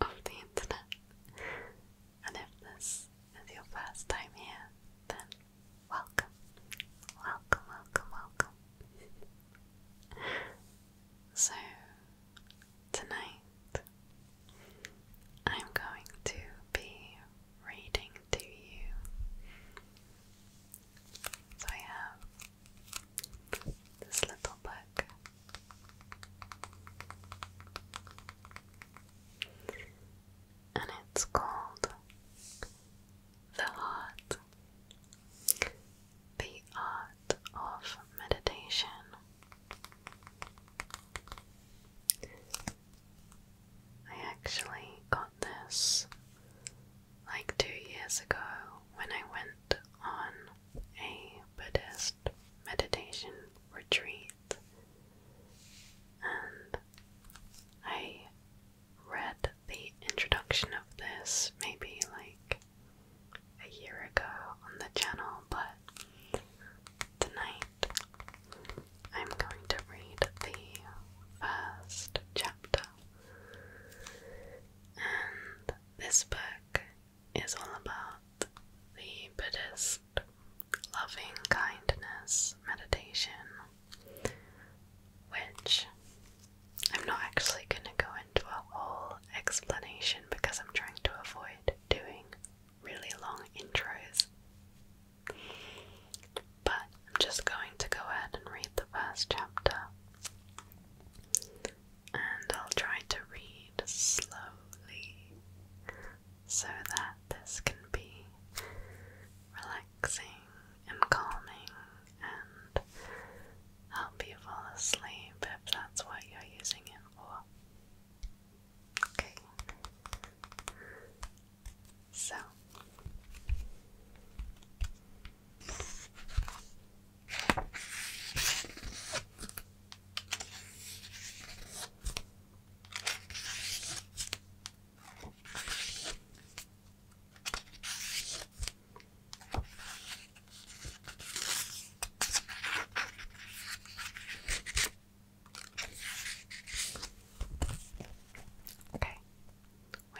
of the internet. And if this is your first time here, then welcome, welcome, welcome, welcome. so, tonight I'm going to be reading to you. So, I have this little book. And it's called The Heart The Art of Meditation. I actually got this like two years ago when I went on a Buddhist meditation retreat, and I read the introduction of this maybe like a year ago on the channel, but tonight I'm going to read the first chapter. And this book is all about the Buddhist loving kindness meditation, which I'm not actually going to go into a whole explanation because I'm trying to avoid doing really long intros. But I'm just going to go ahead and read the first chapter and I'll try to read slowly so that this can be relaxing and calming and help you fall asleep if that's what you're using it for. Okay. So Okay,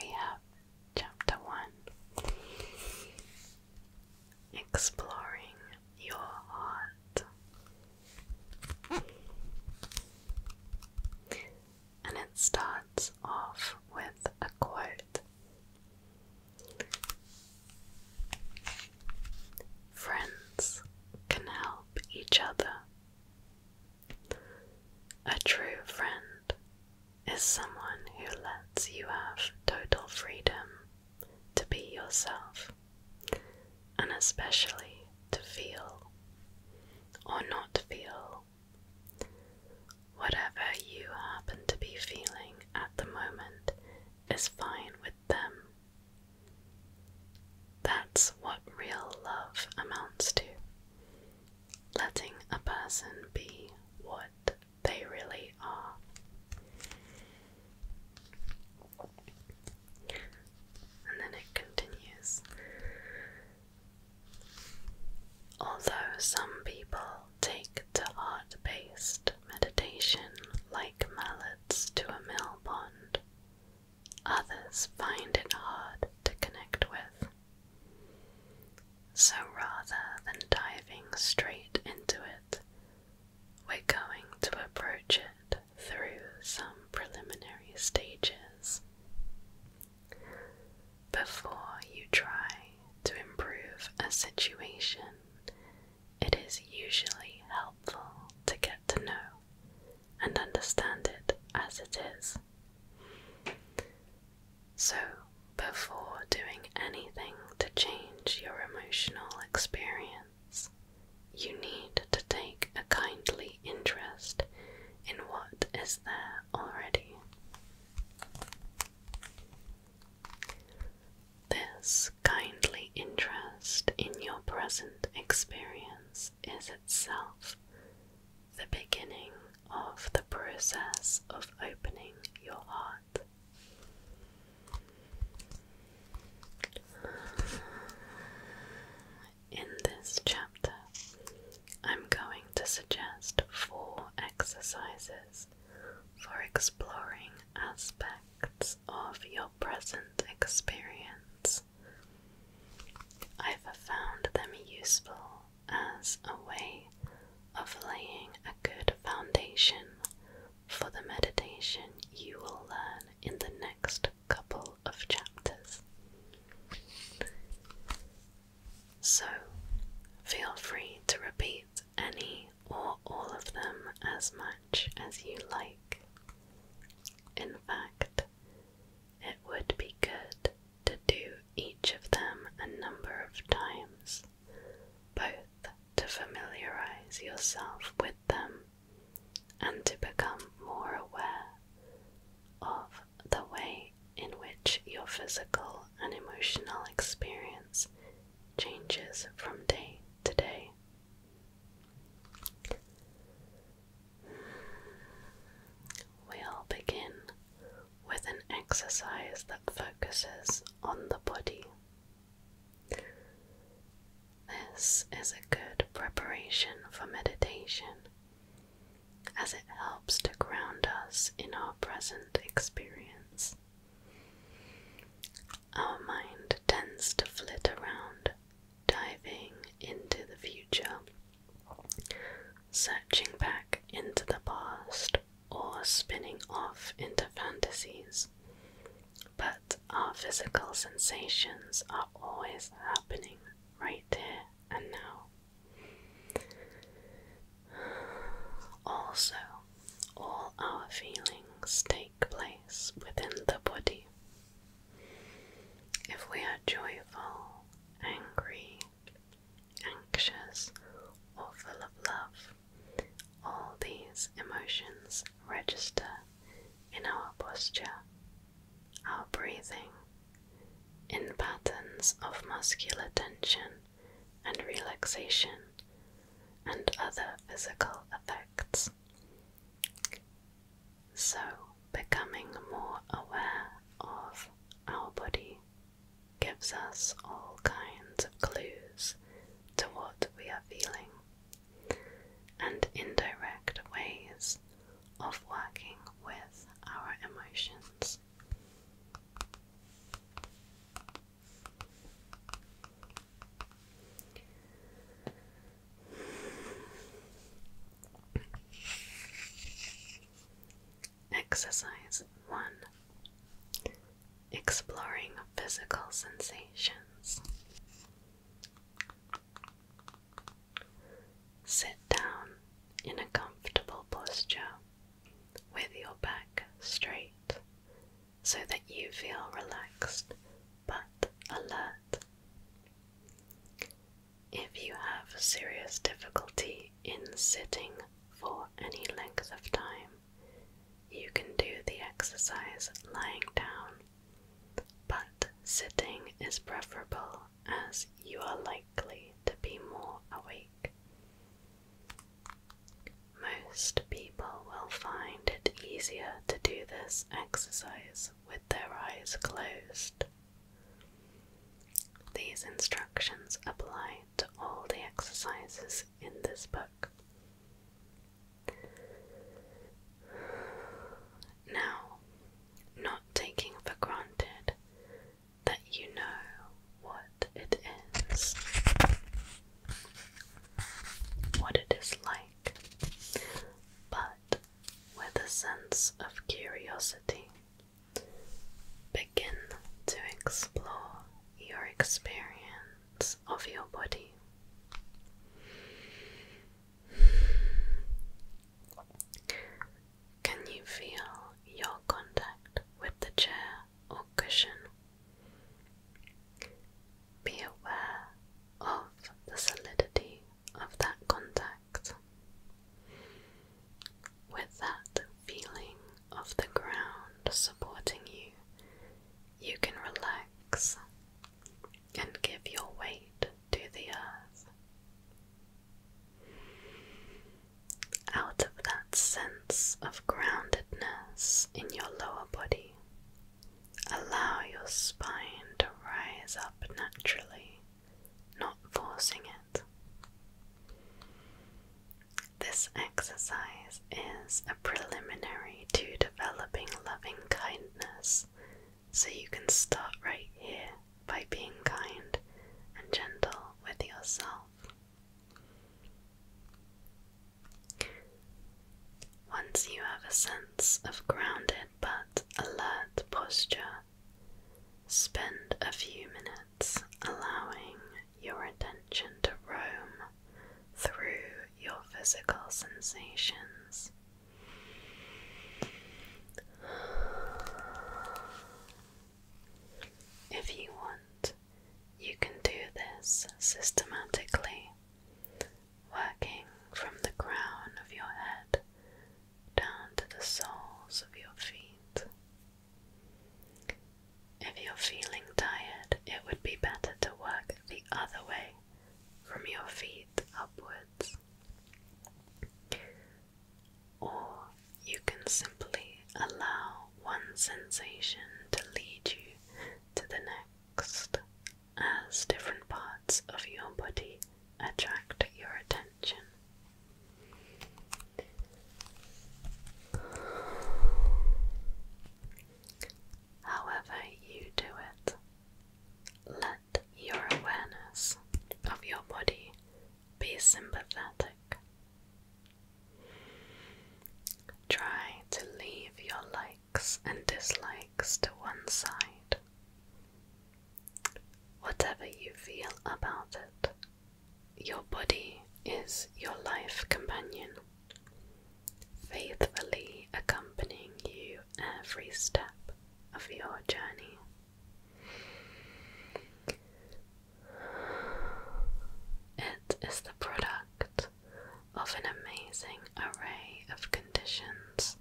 we have chapter one exploring your heart. And it starts off with a quote Friends can help each other. A true friend is someone who lets you have total freedom to be yourself, and especially to feel or not feel whatever you happen to be feeling at the moment is fine with them. That's what real love amounts to. Letting a person be what they really are. And then it continues. Although some people take to art based meditation like mallets to a mill pond, others find it hard to connect with. So rather than diving straight into it, we're going to approach it through some preliminary stages. Before you try to improve a situation, it is usually helpful to get to know and understand it as it is. So, before doing anything to change your emotional experience, you need to take a kindly interest in what is there already. This kindly interest in your present experience is itself the beginning of the process of opening your heart. In this chapter, I'm going to suggest four exercises for exploring aspects of your present experience. I've found them useful as a way of laying a good foundation for the meditation you will learn in the next couple of chapters. So, feel free to repeat any or all of them as much as you like. In fact, it would be good to do each of them a number of times, but to familiarize yourself with them and to become more aware of the way in which your physical and emotional experience changes from day to day. We'll begin with an exercise that focuses on the body. This is a good preparation for meditation as it helps to ground us in our present experience. Our mind tends to flit around, diving into the future, searching back into the past or spinning off into fantasies. But our physical sensations are always happening right here and now. Also, all our feelings take place within the body. If we are joyful, angry, anxious, or full of love. All these emotions register in our posture, our breathing, in patterns of muscular tension and relaxation, and other physical effects. So, becoming more aware of our body gives us all kinds of clues to what we are feeling and indirect ways of working with our emotions. Exercise 1 exploring physical sensations. Sit down in a comfortable posture with your back straight so that you feel relaxed but alert. If you have serious difficulty in sitting for any length of time. You can do the exercise lying down, but sitting is preferable as you are likely to be more awake. Most people will find it easier to do this exercise with their eyes closed. These instructions apply to all the exercises in this book. Now, not taking for granted that you know what it is, what it is like, but with a sense of curiosity Begin to explore your experience of your body. Can you feel your contact with the chair or cushion? Be aware of the solidity of that contact. With that feeling of the ground supporting you, you can relax and give your weight to the earth. Out of that sense of groundedness in your lower body, allow your spine to rise up naturally, not forcing it. This exercise is a preliminary to developing loving kindness, so you can start right here by being kind and gentle with yourself. Once you have a sense of grounded but alert posture, spend a few minutes allowing your attention to roam through your physical sensations. If you want, you can do this systematically, working from the crown of your head down to the soles of your feet. If you're feeling tired, it would be better to work the other way, from your feet upwards. Or you can simply allow one sensation to lead you to the next as different parts of your body attract your attention. However, you do it, let your awareness of your body be sympathetic. Try to leave your likes and dislikes to one side. Whatever you feel about it your body is your life companion, faithfully accompanying you every step of your journey. It is the product of an amazing array of conditions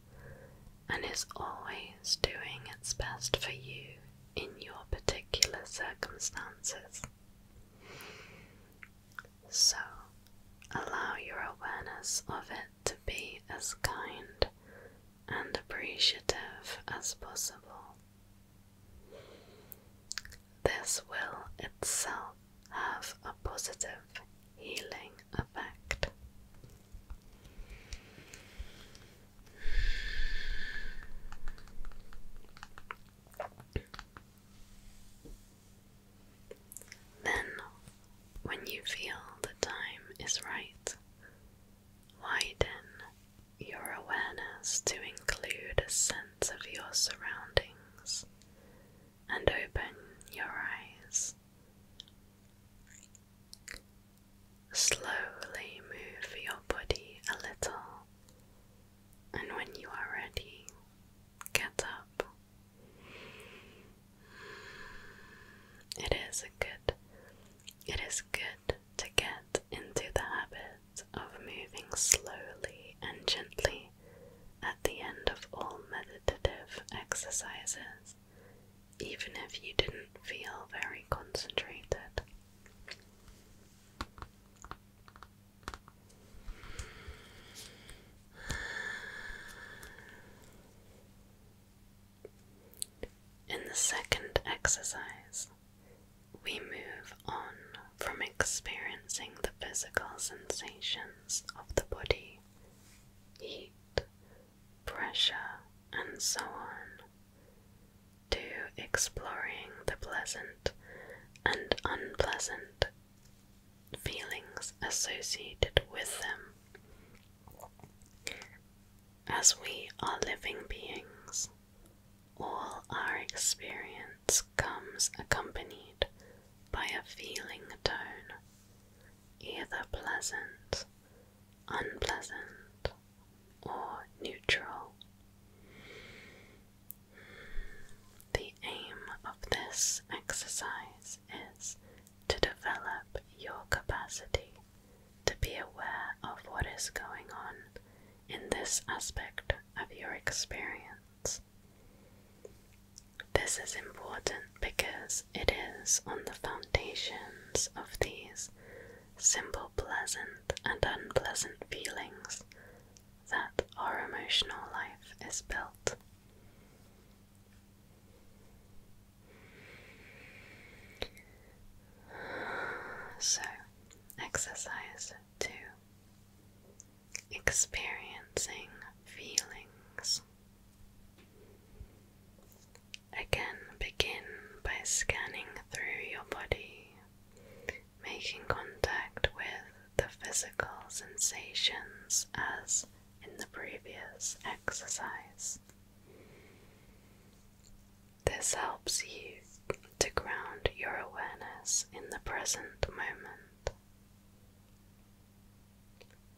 and is always doing its best for you in your particular circumstances. So, allow your awareness of it to be as kind and appreciative as possible. This will itself have a positive healing effect. Then, when you feel the time is right, widen your awareness to include a sense of your surroundings and open your eyes. Slowly move your body a little, and when you are ready, get up. It is a good it is good to get into the habit of moving slowly and gently at the end of all meditative exercises, even if you didn't feel very concentrated. In the second exercise, we move on from experiencing the physical sensations of the body, heat, pressure, and so on, to exploring the pleasant and unpleasant feelings associated with them. As we are living beings, all our experience comes accompanied by a feeling tone, either pleasant unpleasant, or neutral. The aim of this exercise is to develop your capacity to be aware of what is going on in this aspect of your experience. This is important because it is on the foundations of these simple pleasant and unpleasant feelings that our emotional life is built. So, exercise two experiencing feelings. Again, begin by scanning through your body, making contact with the physical sensations as in the previous exercise. This helps you to ground your awareness in the present moment.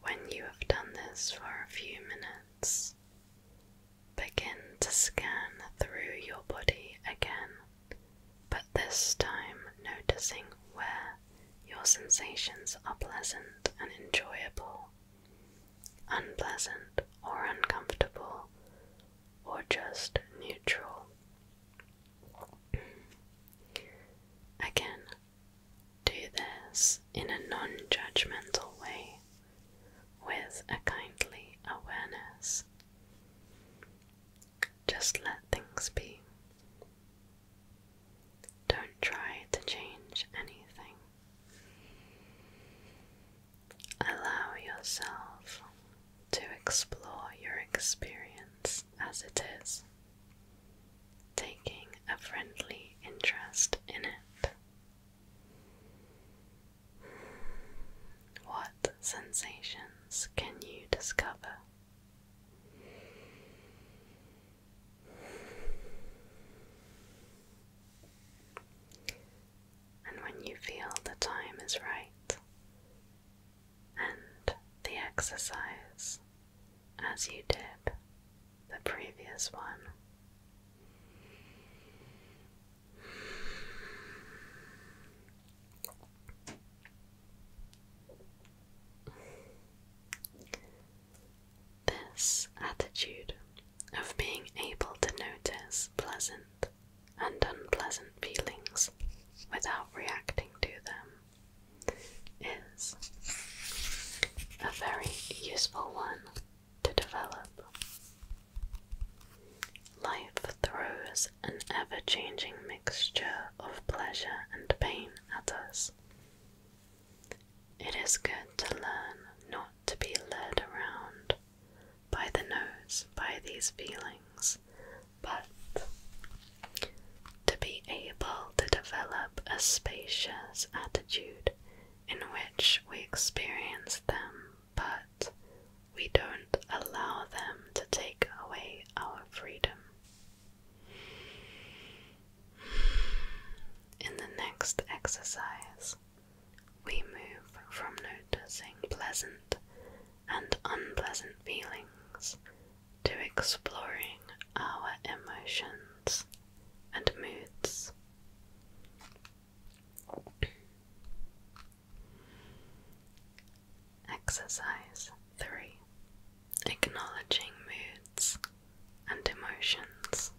When you have done this for a few minutes, Begin to scan through your body again, but this time noticing where your sensations are pleasant and enjoyable, unpleasant or uncomfortable, or just neutral. Again, do this in a non judgmental way with a kindly awareness. Just let things be. Don't try to change anything. Allow yourself to explore your experience as it is, taking a friendly interest in it. What sensations can you discover? And when you feel the time is right and the exercise as you did the previous one, this attitude of being able to notice pleasant and unpleasant feelings without reacting to them is a very useful one to develop. Life throws an ever changing mixture of pleasure and pain at us. It is good to learn not to be led around by the nose by these feelings, but to be able to develop a spacious attitude in which we experience them, but we don't allow them to take away our freedom. In the next exercise, we move from noticing pleasant and unpleasant feelings to exploring our emotions and moods. Exercise 3 Acknowledging moods and emotions.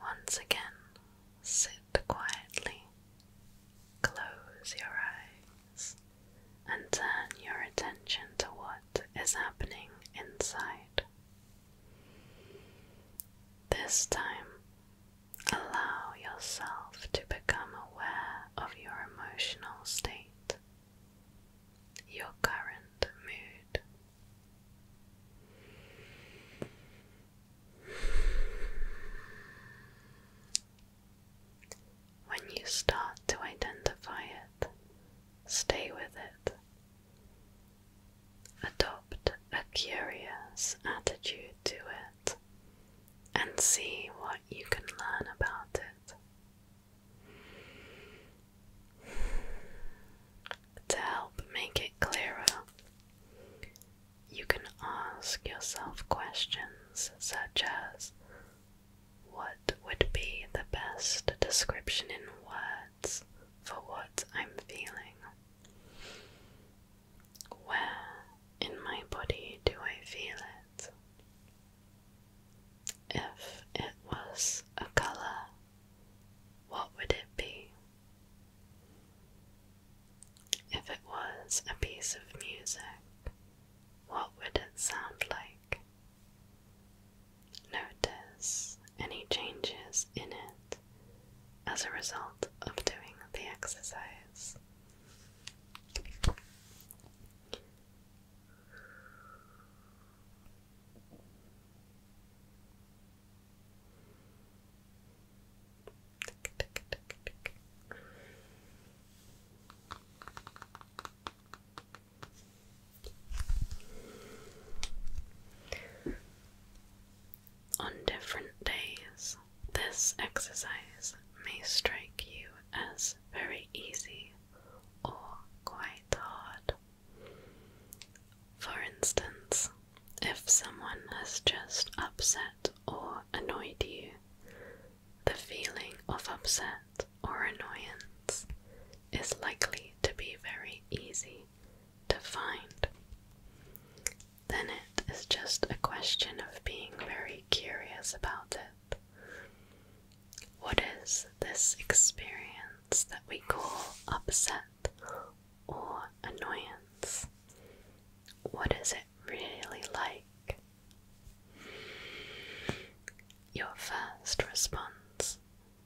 Once again, sit quietly, close your eyes and turn your attention to what is happening inside. This time, allow yourself to become aware of your emotional state, your current mood. When you start to identify it, stay with it. Adopt a curious attitude to it and see what you can learn about it. To help make it clearer, you can ask yourself questions such as what would be the best description in words for what I'm feeling? Where in my body do I feel it? If it was a color, what would it be? If it was a piece of music, what would it sound like? Notice any changes in it as a result of doing the exercise. On different days, this exercise may strike you as very easy or quite hard. For instance, if someone has just upset or annoyed you, the feeling of upset or annoyance is likely to be very easy to find. Then it is just a question of being very curious about it. What is this experience that we call upset or annoyance? What is it really like? Your first response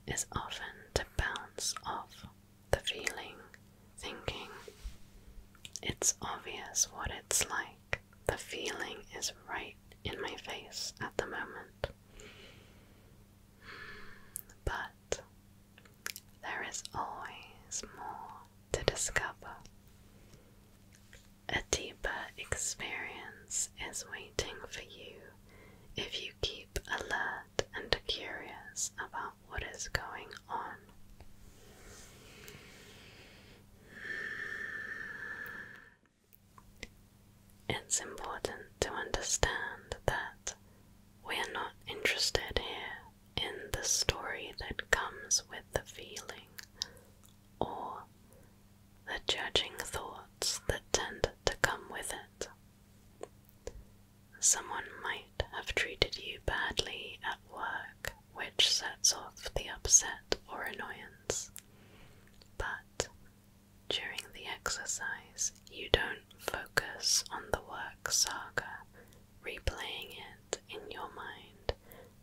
is often to bounce off the feeling, thinking, it's obvious what it's like. The feeling is right in my face at the moment. But there is always more to discover. A deeper experience is waiting for you if you keep alert and curious about what is going on. It's important to understand that we are not interested here in the story that comes with the feeling or the judging thoughts that tend to come with it. Someone might have treated you badly at work, which sets off the upset or annoyance, but during the exercise, you don't focus on the work saga, replaying it in your mind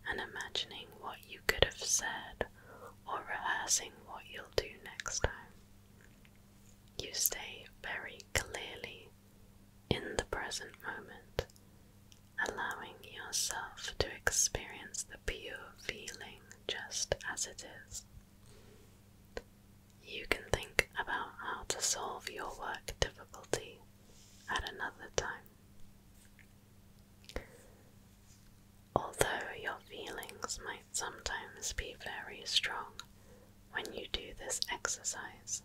and imagining what you could have said or rehearsing what you'll do next time. You stay very clearly in the present moment, allowing yourself to experience the pure feeling just as it is. You can think about how to solve your work difficulty at another time. Although your feelings might sometimes be very strong when you do this exercise,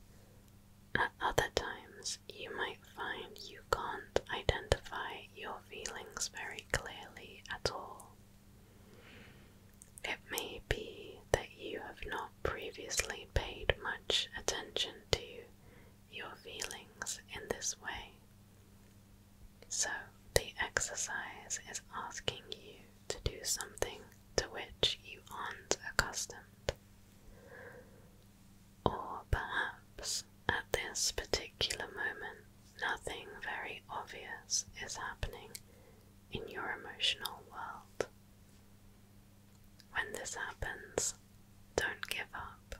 at other times you might find you can't identify your feelings very clearly at all. It may be that you have not previously paid much attention to your feelings in this way. So, the exercise is asking you to do something to which you aren't accustomed. Or perhaps at this particular moment, nothing very obvious is happening in your emotional world. When this happens, don't give up.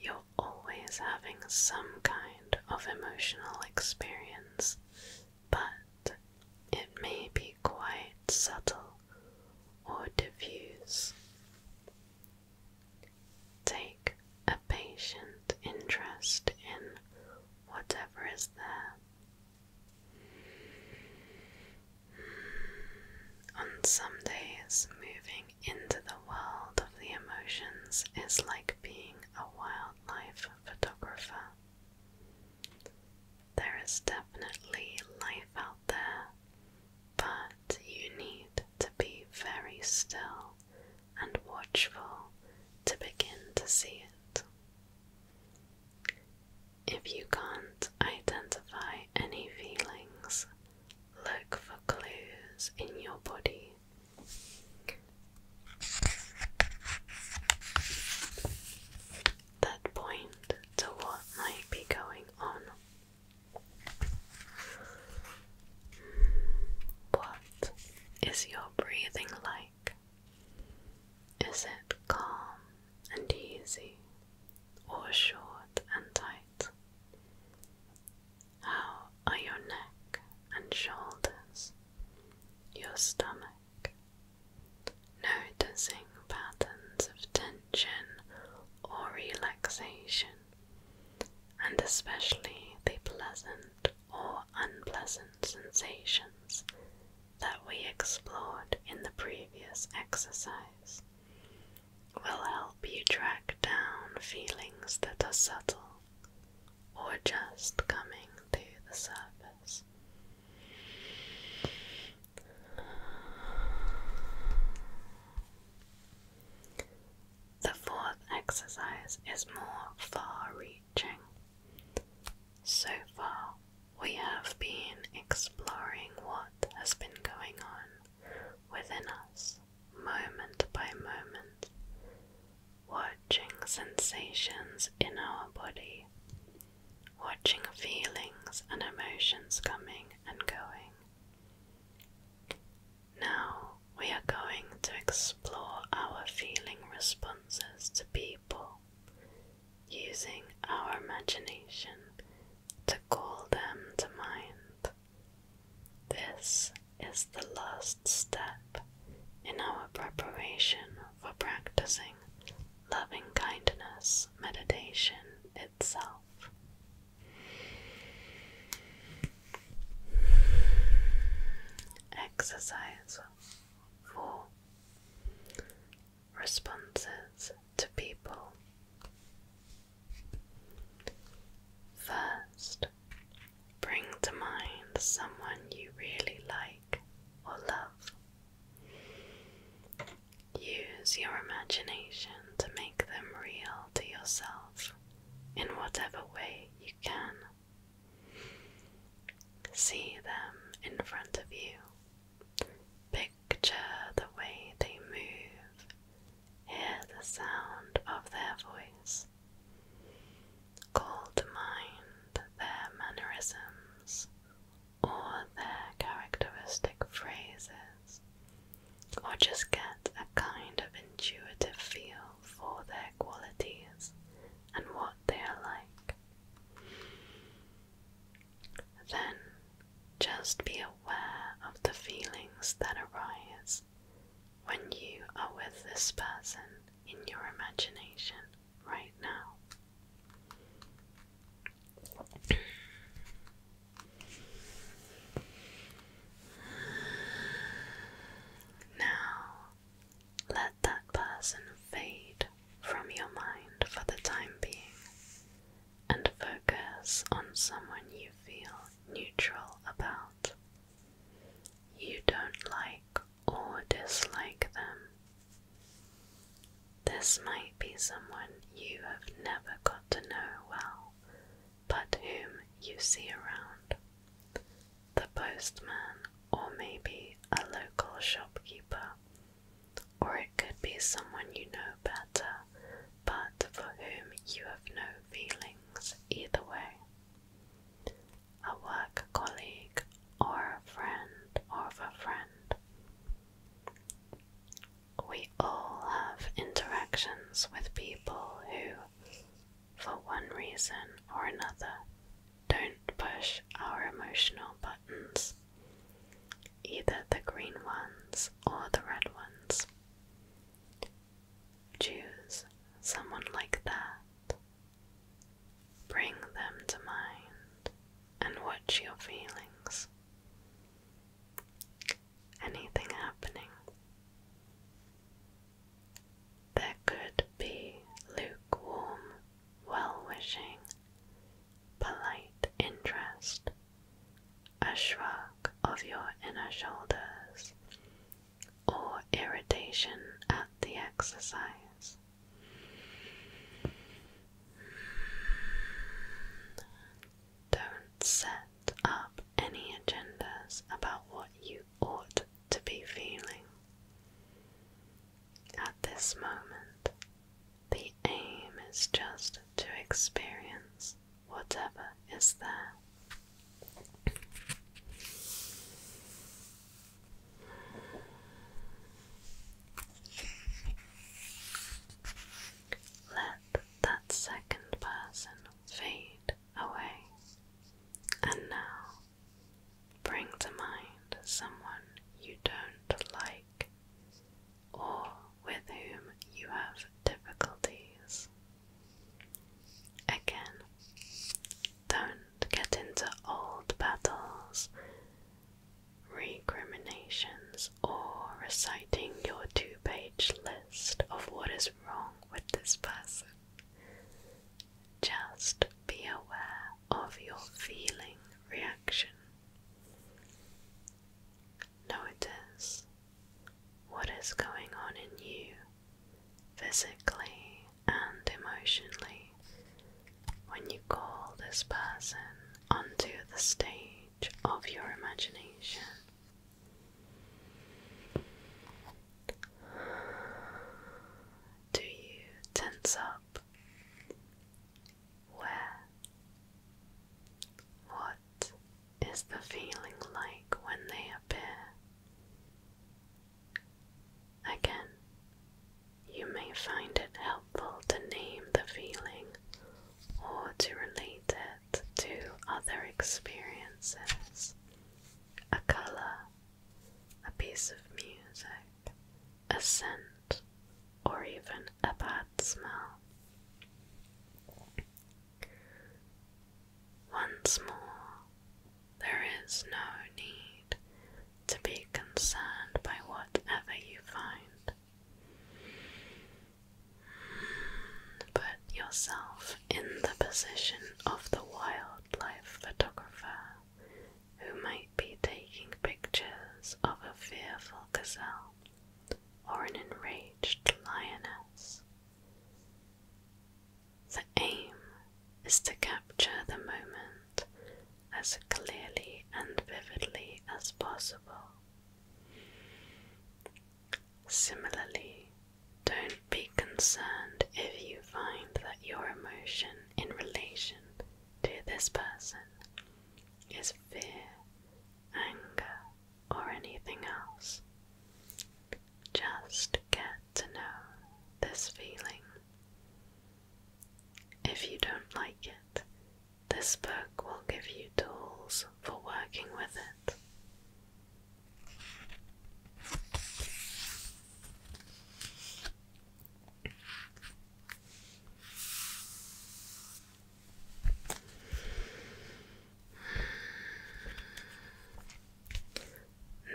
You're always having some kind of emotional experience, but it may be quite subtle or diffuse. Take a patient interest in whatever is there. On some days, moving into the world of the emotions is like being a wildlife photographer. There is definitely life out there, but you need to be very still and watchful to begin to see it. If you can't identify any feelings, look for clues in your body. That point to what might be going on. Hmm, what is your breathing like? Is it calm and easy, or short and tight? How are your neck and shoulders, your stomach? Noticing patterns of tension or relaxation, and especially the pleasant or unpleasant sensations that we explored in the previous exercise will help you track down feelings that are subtle or just coming to the surface. The fourth exercise is more far reaching. So far, we have been exploring what has been going on within us moment by moment, watching sensations in our body, watching feelings and emotions coming and going. Now we are going to explore our feeling responses to people using our imagination to call them to mind. This is the last step in our preparation for practicing loving kindness meditation itself. Exercise 4 responses to people. First, bring to mind someone you really like or love. Use your imagination to make them real to yourself in whatever way you can. See them in front of you Picture the way they move, hear the sound of their voice. Call to mind their mannerisms or their characteristic phrases, or just get a kind of intuitive feel for their qualities and what they are like. Then just be aware of the feelings that arise when you are with this person in your imagination right now. Now let that person fade from your mind for the time being and focus on someone you feel neutral about. You don't like or dislike them. This might be someone you have never got to know well, but whom you see around. The postman, or maybe a local shopkeeper or it could be someone you know better, but for whom you have no feelings either way. A work colleague, or a friend of a friend. We all have interactions with people who, for one reason or another, don't push our emotional buttons either the green ones or the red ones. Choose someone like that. Bring them to mind and watch your feelings. Anything happening? There could be lukewarm well wishing, polite interest, a shrug of your inner shoulders, or irritation at the exercise. Don't set up any agendas about what you ought to be feeling. At this moment, the aim is just to experience whatever is there. Let that second person fade away. And now bring to mind someone you don't like or with whom you have difficulties. Again, don't get into old battles, recriminations, or reciting your two page list of what is wrong with this person. Just be aware of your feeling reaction. Notice what is going on in you physically and emotionally when you call this person onto the stage of your imagination. Do you tense up? Where? What is the feeling like when they appear? Again, you may find it helpful to name the feeling or to relate it to other experiences, a colour, a piece of music, a scent, or even a bad smell. Once more, there is no need to be concerned by whatever you find. Put yourself in the position of the wildlife photographer who might be taking pictures of a fearful gazelle or an enraged lioness. The aim is to capture the moment as clearly and vividly as possible. Similarly, don't be concerned if you find that your emotion in relation to this person is fear, anger, or anything else. Just get to know this feeling. If you don't like it, this book will give you tools for working with it.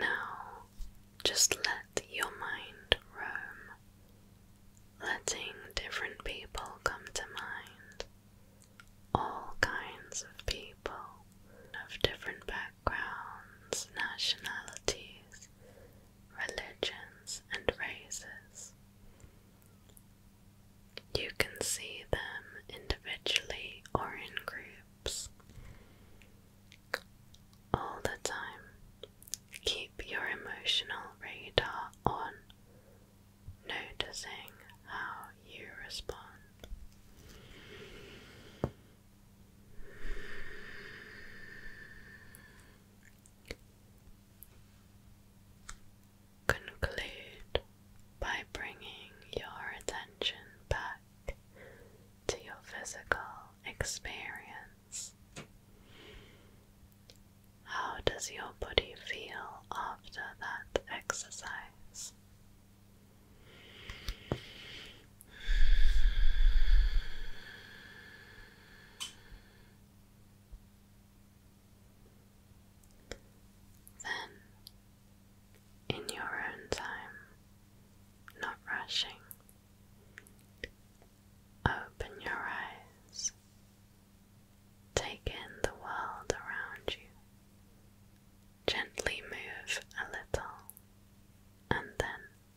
Now, just let your mind roam, letting different people come to mind, all kinds of people of different backgrounds, nationalities, religions, and races. You can see them individually or in groups. All the time, keep your emotional radar on, noticing how you respond. Conclude by bringing your attention back to your physical experience. How does your body feel after that exercise? Then, in your own time, not rushing, open your eyes, take in the world around you, gently move a little, and then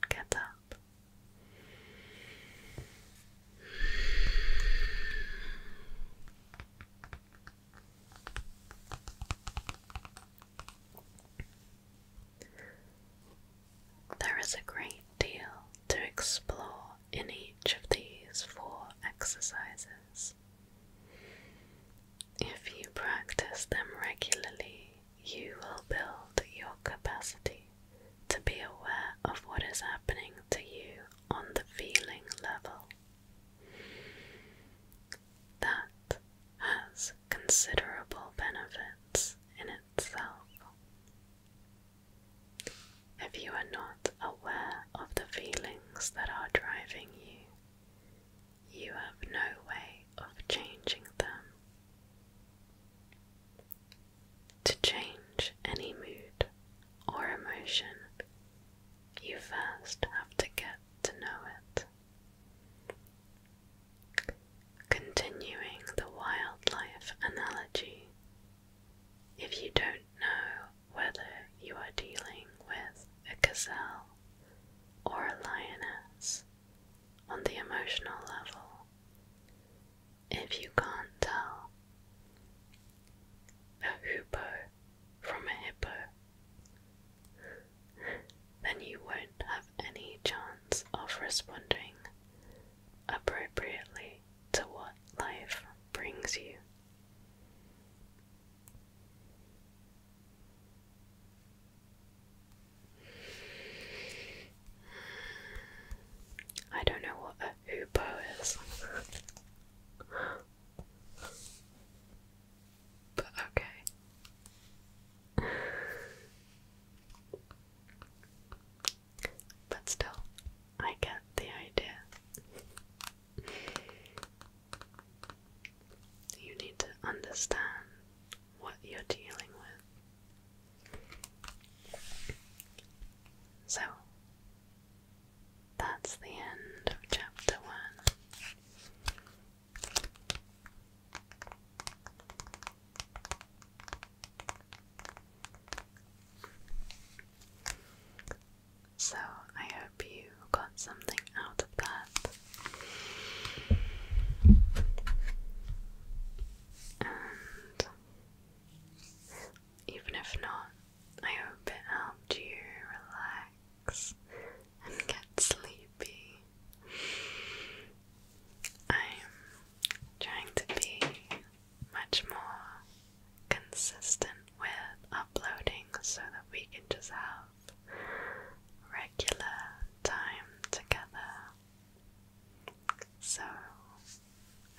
get up. There is a great deal to explore in each of these four exercises. If you practice them regularly you will build your capacity to be aware of what is happening to you on the feeling level. That has considerable benefits in itself. If you are not aware of the feelings that are driving you, you have no way of changing them. To change any mood or emotion, you first have to get to know it. Continuing the wildlife analogy, if you don't know whether you are dealing with a gazelle or a lioness on the emotional level, if you can't tell a hoopoe from a hippo, then you won't have any chance of responding appropriately to what life brings you. I don't know what a hoopoe is. but okay. But still, I get the idea. You need to understand what you're dealing with so that's the end of chapter one. So, I hope you got something out of that and even if not, I hope it helped you relax and get sleepy. I'm trying to be much more consistent with uploading so that we can just have regular time together so,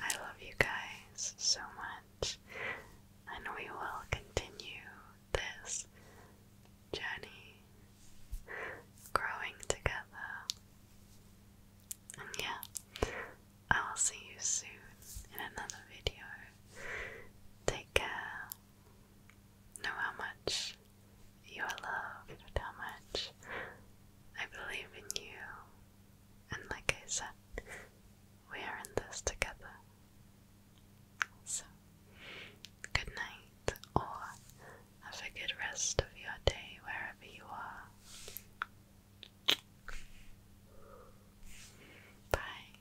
I love you guys so much, and we will continue this journey growing together. And yeah, I'll see you soon in another video. Take care. Know how much you are loved, how much I believe in you. And like I said, we are in this together. So, good night, or have a good rest of your day wherever you are. Bye.